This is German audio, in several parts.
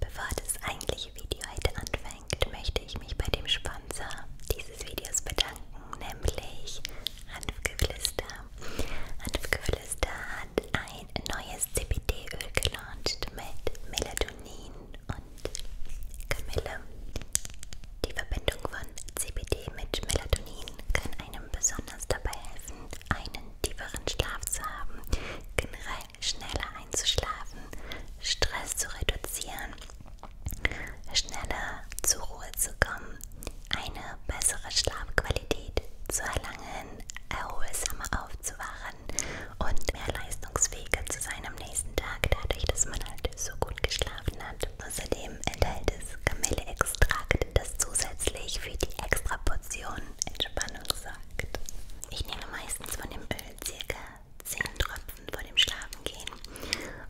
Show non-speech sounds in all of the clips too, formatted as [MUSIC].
Bevor das eigentliche Video heute anfängt, möchte ich mich bei dem Sponsor dieses Videos bedanken, nämlich Hanfgeflüster. Hanfgeflüster hat ein neues CBD-Öl gelauncht mit Melatonin und Kamille. Die Verbindung von CBD mit Melatonin kann einem besonders dabei helfen, einen tieferen Schlaf zu haben, generell schneller einzuschlafen, Stress zu reduzieren, schneller zur Ruhe zu kommen, eine bessere Schlafqualität zu erlangen, erholsamer aufzuwachen und mehr leistungsfähiger zu sein am nächsten Tag, dadurch, dass man halt so gut geschlafen hat. Außerdem enthält es Kamilleextrakt, das zusätzlich für die extra Portion Entspannung sorgt gesagt. Ich nehme meistens von dem Öl circa 10 Tropfen vor dem Schlafengehen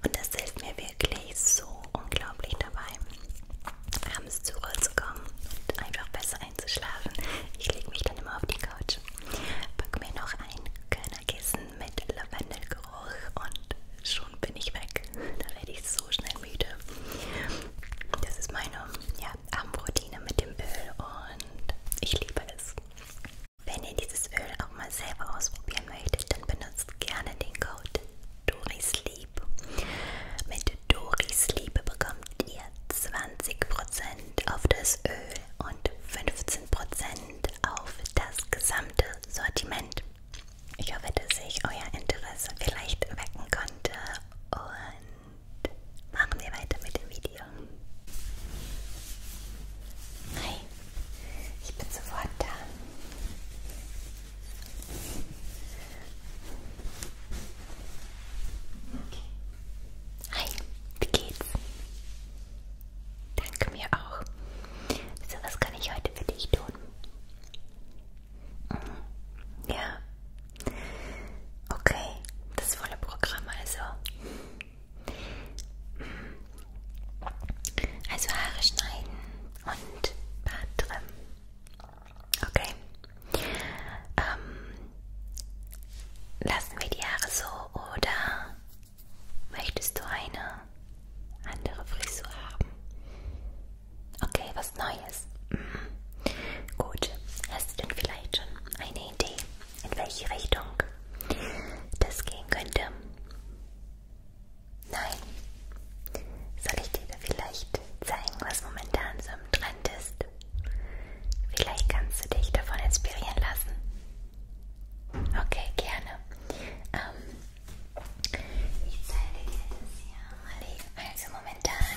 und das hilft mir wirklich so unglaublich dabei, abends zur Ruhe zu kommen und einfach besser einzuschlafen. Ich lege mich dann immer auf die Couch, packe mir noch ein Körnerkissen mit Lavendelgeruch und schon bin ich weg. [LAUGHS] Da werde ich so schnell müde. Das ist meine ja, Abendroutine mit dem Öl und ich liebe es. Wenn ihr dieses Öl auch mal selber ausprobieren möchtet, dann benutzt gerne den Code DORISLIEB. Mit DORISLIEB bekommt ihr 20% auf das Öl und 15% auf das gesamte Sortiment. Ich hoffe, dass ich euer Interesse vielleicht wecken konnte und machen wir weiter mit dem Video. Hi, ich bin sofort da. Okay. Hi, wie geht's? Danke mir auch. So, was kann ich heute für dich tun? Mhm. Ja, Okay, das volle Programm also. Also Haare schneiden und Bart trimmen. Okay. Ähm, lassen wir die Haare so oder möchtest du eine andere Frisur haben? Okay, was Neues es. Mhm. Gut, hast du denn vielleicht schon eine Idee, in welche Richtung das gehen könnte? Nein. Soll ich dir vielleicht zeigen, was momentan so im Trend ist? Vielleicht kannst du dich davon inspirieren lassen. Okay, gerne. Ähm, ich zeige dir das hier mal. Also momentan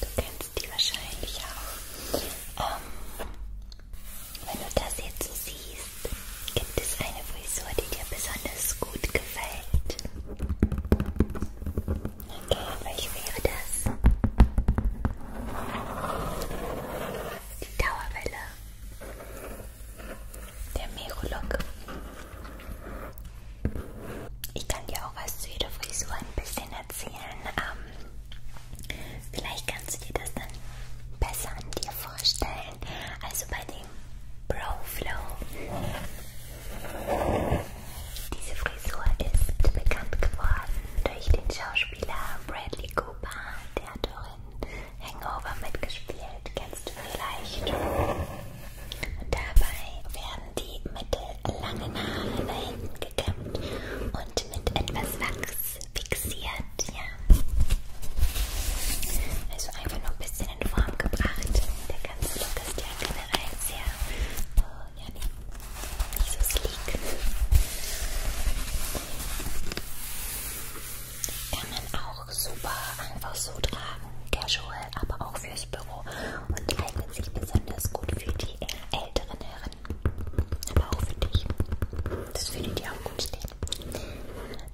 Du kennst die wahrscheinlich auch. Ähm, wenn du das jetzt so siehst, gibt es eine Frisur, die dir besonders gut gefällt. Okay, welche wäre das? Die Dauerwelle. Der Merolog. Ich kann dir auch was zu jeder Frisur ein bisschen erzählen. Ähm, vielleicht kannst du dir das dann besser an dir vorstellen. Also bei dem Broflow. Diese Frisur ist bekannt geworden durch den Schauspieler Bradley Cooper. Der hat auch in Hangover mitgespielt, kennst du vielleicht. Und dabei werden die mittellangen Haare nach hinten gekämmt und mit etwas Wachs fixiert. Ja. Also einfach nur ein bisschen in Form gebracht. Der ganze Look ist ja generell sehr, oh, ja, nicht, nicht so sleek. Kann man auch auch super einfach so tragen, casual, aber auch fürs Büro und eignet sich besonders gut für die älteren Herren, aber auch für dich. Das würde dir auch gut stehen.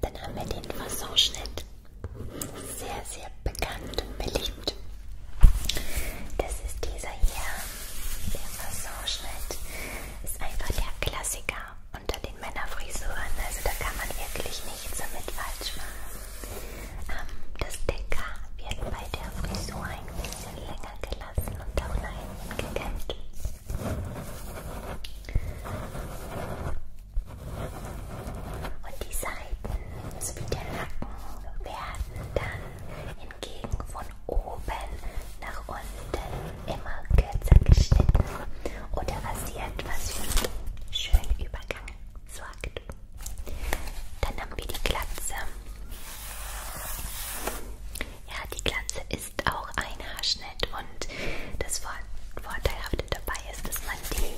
Dann haben wir den Fassonschnitt, sehr, sehr bekannt und beliebt. Das ist dieser hier, der Fassonschnitt, ist einfach der Klassiker unter den Männerfrisuren. Also da kann man wirklich nichts damit falsch machen. Ähm, das Decker wird bei der Frisur ein bisschen länger gelassen und auch nach hinten gekämmt. Und die Seiten sowie der Nacken werden dann hingegen von oben nach unten immer kürzer geschnitten oder was hier etwas für einen schönen Übergang sorgt. Dann haben wir die Glatze. Ja, die Glatze ist auch ein Haarschnitt und das Vorteilhafte dabei ist, dass man die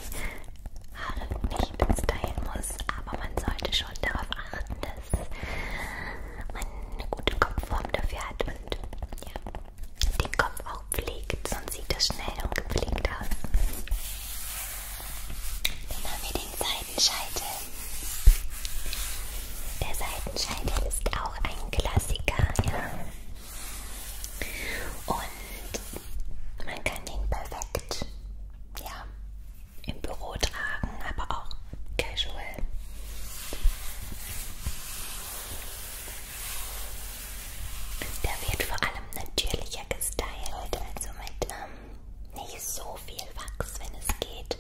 Haare nicht stylen muss, aber man sollte schon darauf achten, dass man eine gute Kopfform dafür hat und ja, den Kopf auch pflegt, sonst sieht das schnell und gepflegt aus. Dann haben wir den Seitenscheitel. Der Seitenscheitel ist auch ein Klassiker, ja. Und man kann ihn perfekt ja, im Büro tragen, aber auch casual. Der wird vor allem natürlicher gestylt, also mit ähm, nicht so viel Wachs, wenn es geht.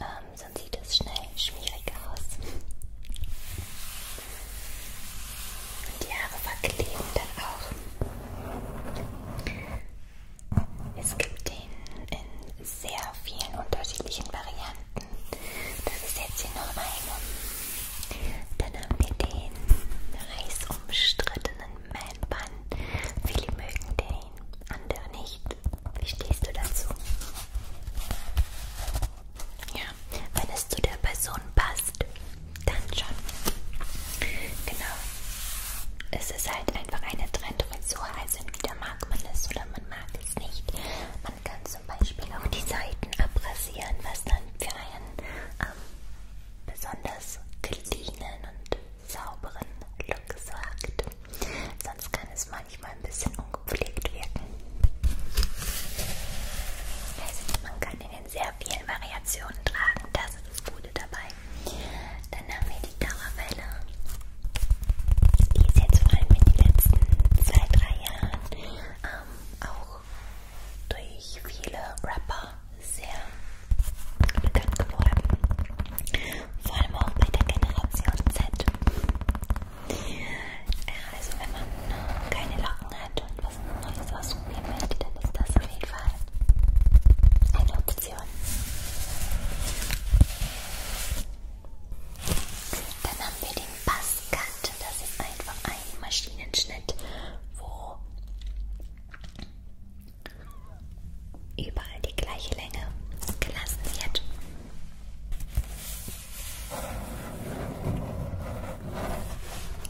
Ähm, sonst sieht es schnell schwierig aus. Und die Haare verkleben dann auch. Es gibt den in sehr vielen unterschiedlichen Varianten halten. Das ist jetzt hier noch eine. Dann haben wir den heiß umstrittenen Man Bun. Viele mögen den, andere nicht. Wie stehst du dazu? Ja, wenn es zu der Person passt, dann schon. Genau. Es ist halt einfach eine Trendfrisur. Also entweder mag man es oder man mag es nicht. Man kann zum Beispiel auch die Seiten abrasieren, was dann für einen ähm, besonders cleanen und sauberen Look sorgt. Sonst kann es manchmal ein bisschen ungepflegt wirken. Also man kann ihn in sehr vielen Variationen tragen, das ist das Gute dabei. Dann haben wir die Dauerwelle. Die ist jetzt vor allem in den letzten 2-3 Jahren ähm, auch durch viele Rapper sehr bekannt geworden. Vor allem auch bei der Generation Z. Also wenn man keine Locken hat und was Neues ausprobieren möchte, dann ist das auf jeden Fall eine Option. Dann haben wir den Pascal und das ist einfach ein Maschinenschnitt, wo überall die gleiche Länge gelassen wird.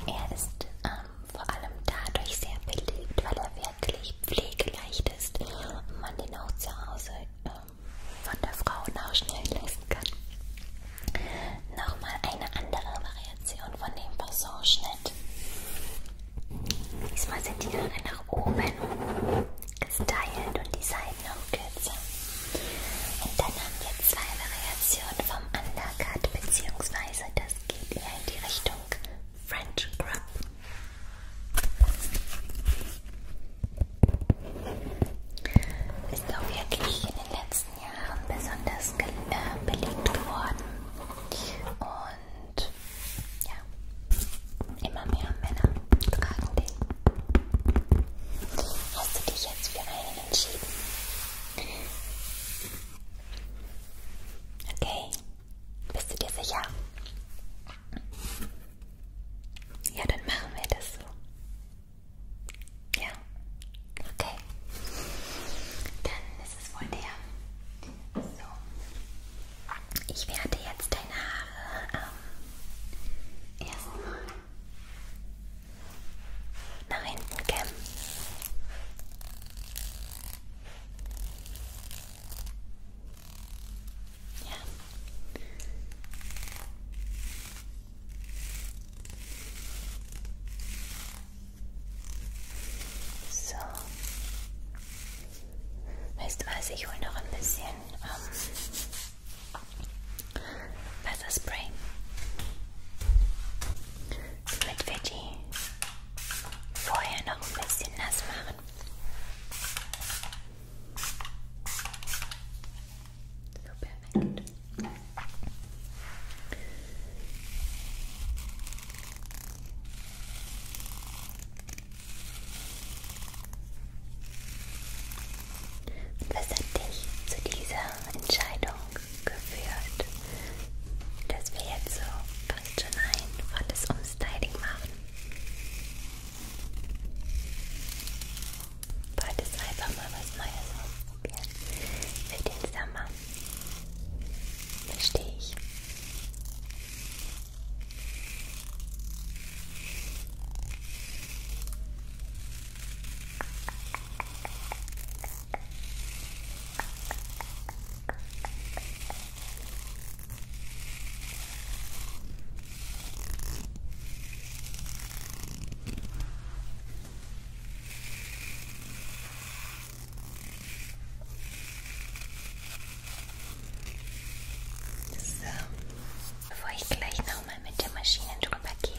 Er ist ähm, vor allem dadurch sehr beliebt, weil er wirklich pflegeleicht ist und man den auch zu Hause ähm, von der Frau nachschneiden lassen kann. Nochmal eine andere Variation von dem Passonschnitt. Diesmal sind die Haare nach oben gestylt und die Seiten auch kürzer. Und dann haben wir zwei Variationen vom Undercut, beziehungsweise das geht eher in die Richtung French Crop. Ist auch wirklich in den letzten Jahren besonders äh, beliebt geworden. Und ja, immer mehr Männer tragen den. Hast du dich jetzt für einen entschieden? Okay, bist du dir sicher? Ja, dann machen wir das so. Ja, okay. Dann ist es wohl der. So. Ich werde jetzt deine Haare ähm, erstmal nach hinten kämmen. Ja. So. Weißt du was? Ich hole noch ein bisschen ähm, Wasserspray damit wir die vorher noch ein bisschen nass machen. So perfekt. Und was hat dich zu dieser Entscheidung geführt, dass wir jetzt so fast schon ein volles Umstyling machen? Bald ist einfach mal was Neues ausprobieren. Für den Sommer. Verstehe ich. So, bevor ich gleich nochmal mit der Maschine drüber gehe,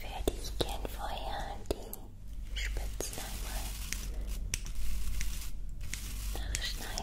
werde ich gern vorher die Spitzen einmal nachschneiden.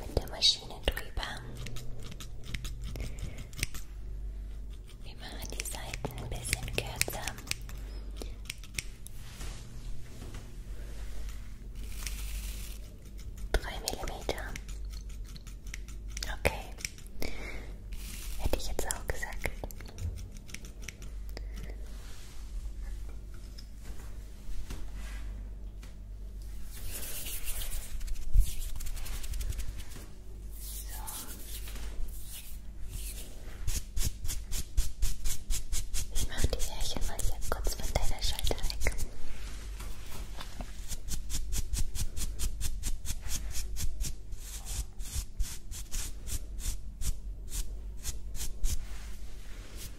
mit der Maschine drüber. Wir machen die Seiten ein bisschen kürzer. Drei Millimeter. Okay. Hätte ich jetzt auch gesagt. Ich mach die Härchen mal hier kurz von deiner Schulter weg. So. So.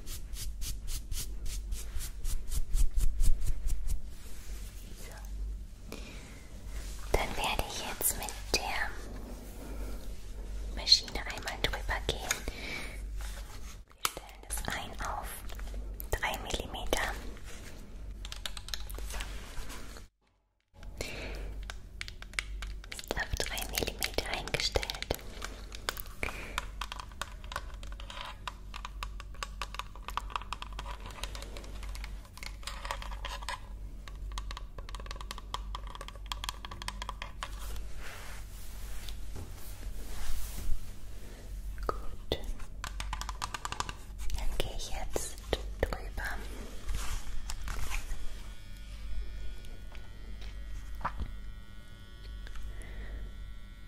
Dann werde ich jetzt mit der Maschine einmal drüber gehen. Wir stellen das ein auf 3 mm. So. Ist auf 3 mm eingestellt. Gut. Dann gehe ich jetzt drüber.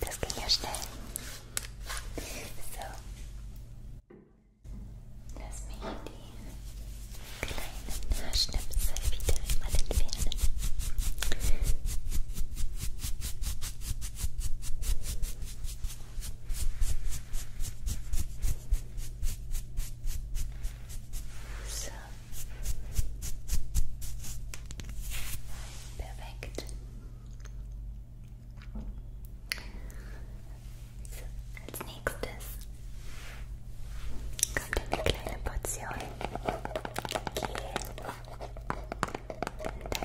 Das ging ja schnell. So. Lass mich die kleinen Haarschnipsel wieder einmal entfernen. So. Perfekt. So, als nächstes kommt eine kleine Portion Gel in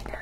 deine Haare.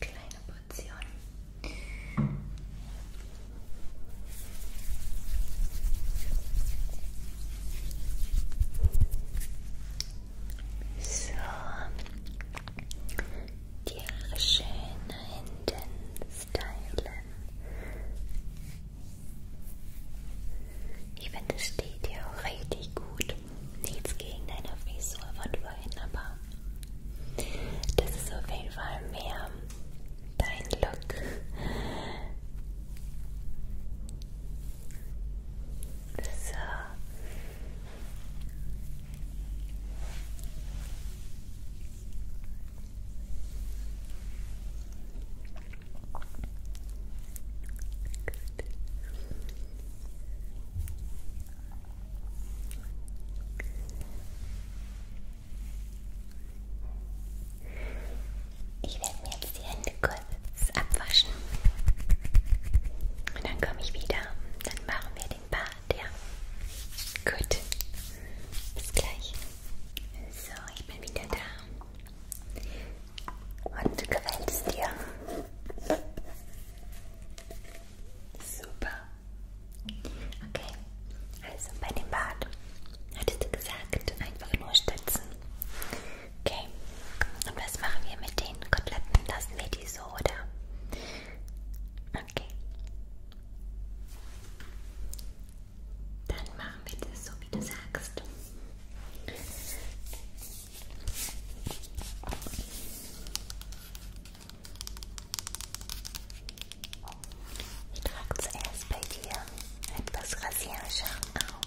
Kleine Portion. So, die Haare schön nach hinten stylen. Ich finde, es steht dir auch richtig gut. Nichts gegen deine Frisur von vorhin, aber das ist auf jeden Fall mehr dein Look. So. Ich werde mir jetzt die Hände kurz abwaschen. Und dann komme ich wieder. Dann machen wir den Bart, ja. Gut. Bis gleich. So, ich bin wieder da. Und gefällt es dir? Super. Okay, also bei dem Bart hattest du gesagt, einfach nur stützen. Okay, und was machen wir mit den Koteletten? Lassen wir die so, oder? Okay. Dann machen wir das so, wie du sagst. Ich trage zuerst bei dir etwas Rasierschaum auf.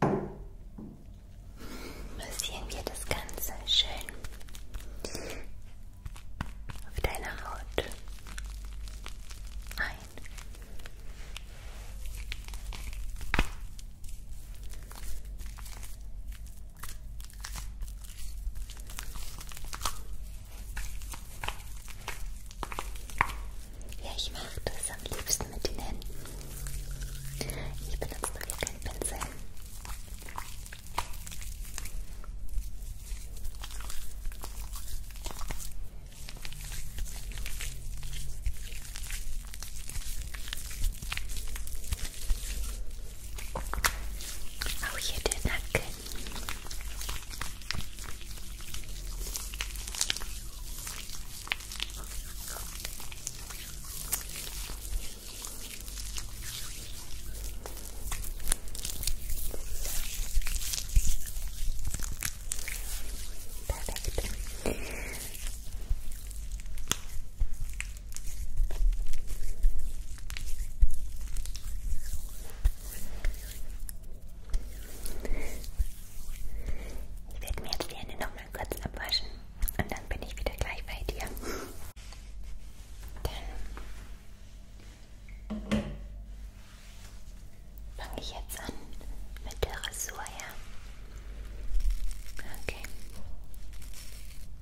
dann massieren wir das Ganze schön auf deine Haut ein. Ja, ich mache das am liebsten mit den Händen. Ich benutze doch hier keinen Pinsel. Oh, you did that good. Perfect. Ich werde mir jetzt die Hände nochmal kurz abwaschen und dann bin ich wieder gleich bei dir. Dann fange ich jetzt an mit der Rasur her. Okay.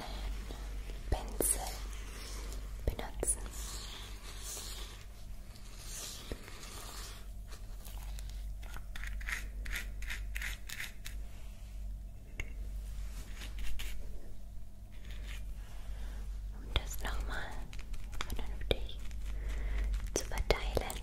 einen Pinsel benutzen. Um das nochmal vernünftig zu verteilen.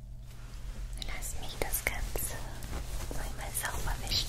Lass mich das Ganze einmal sauber wischen.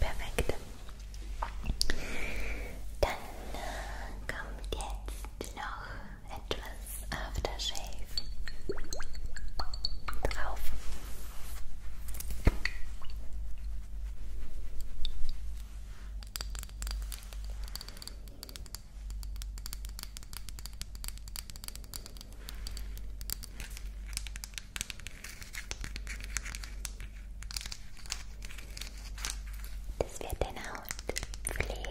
Perfekt. Dann äh, kommt jetzt noch etwas Aftershave drauf. Das wird deine Haut pflegen und regenerieren.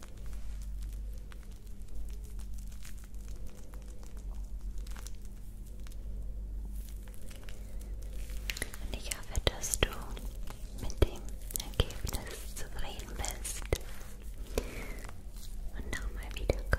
Und ich hoffe, dass du mit dem Ergebnis zufrieden bist und nochmal wiederkommst.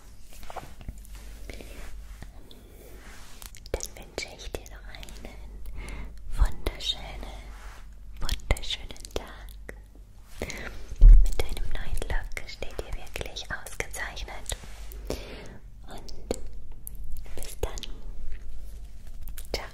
Dann wünsche ich dir noch einen wunderschönen, wunderschönen Tag. Mit deinem neuen Look steht dir wirklich ausgezeichnet. Und bis dann. Ciao.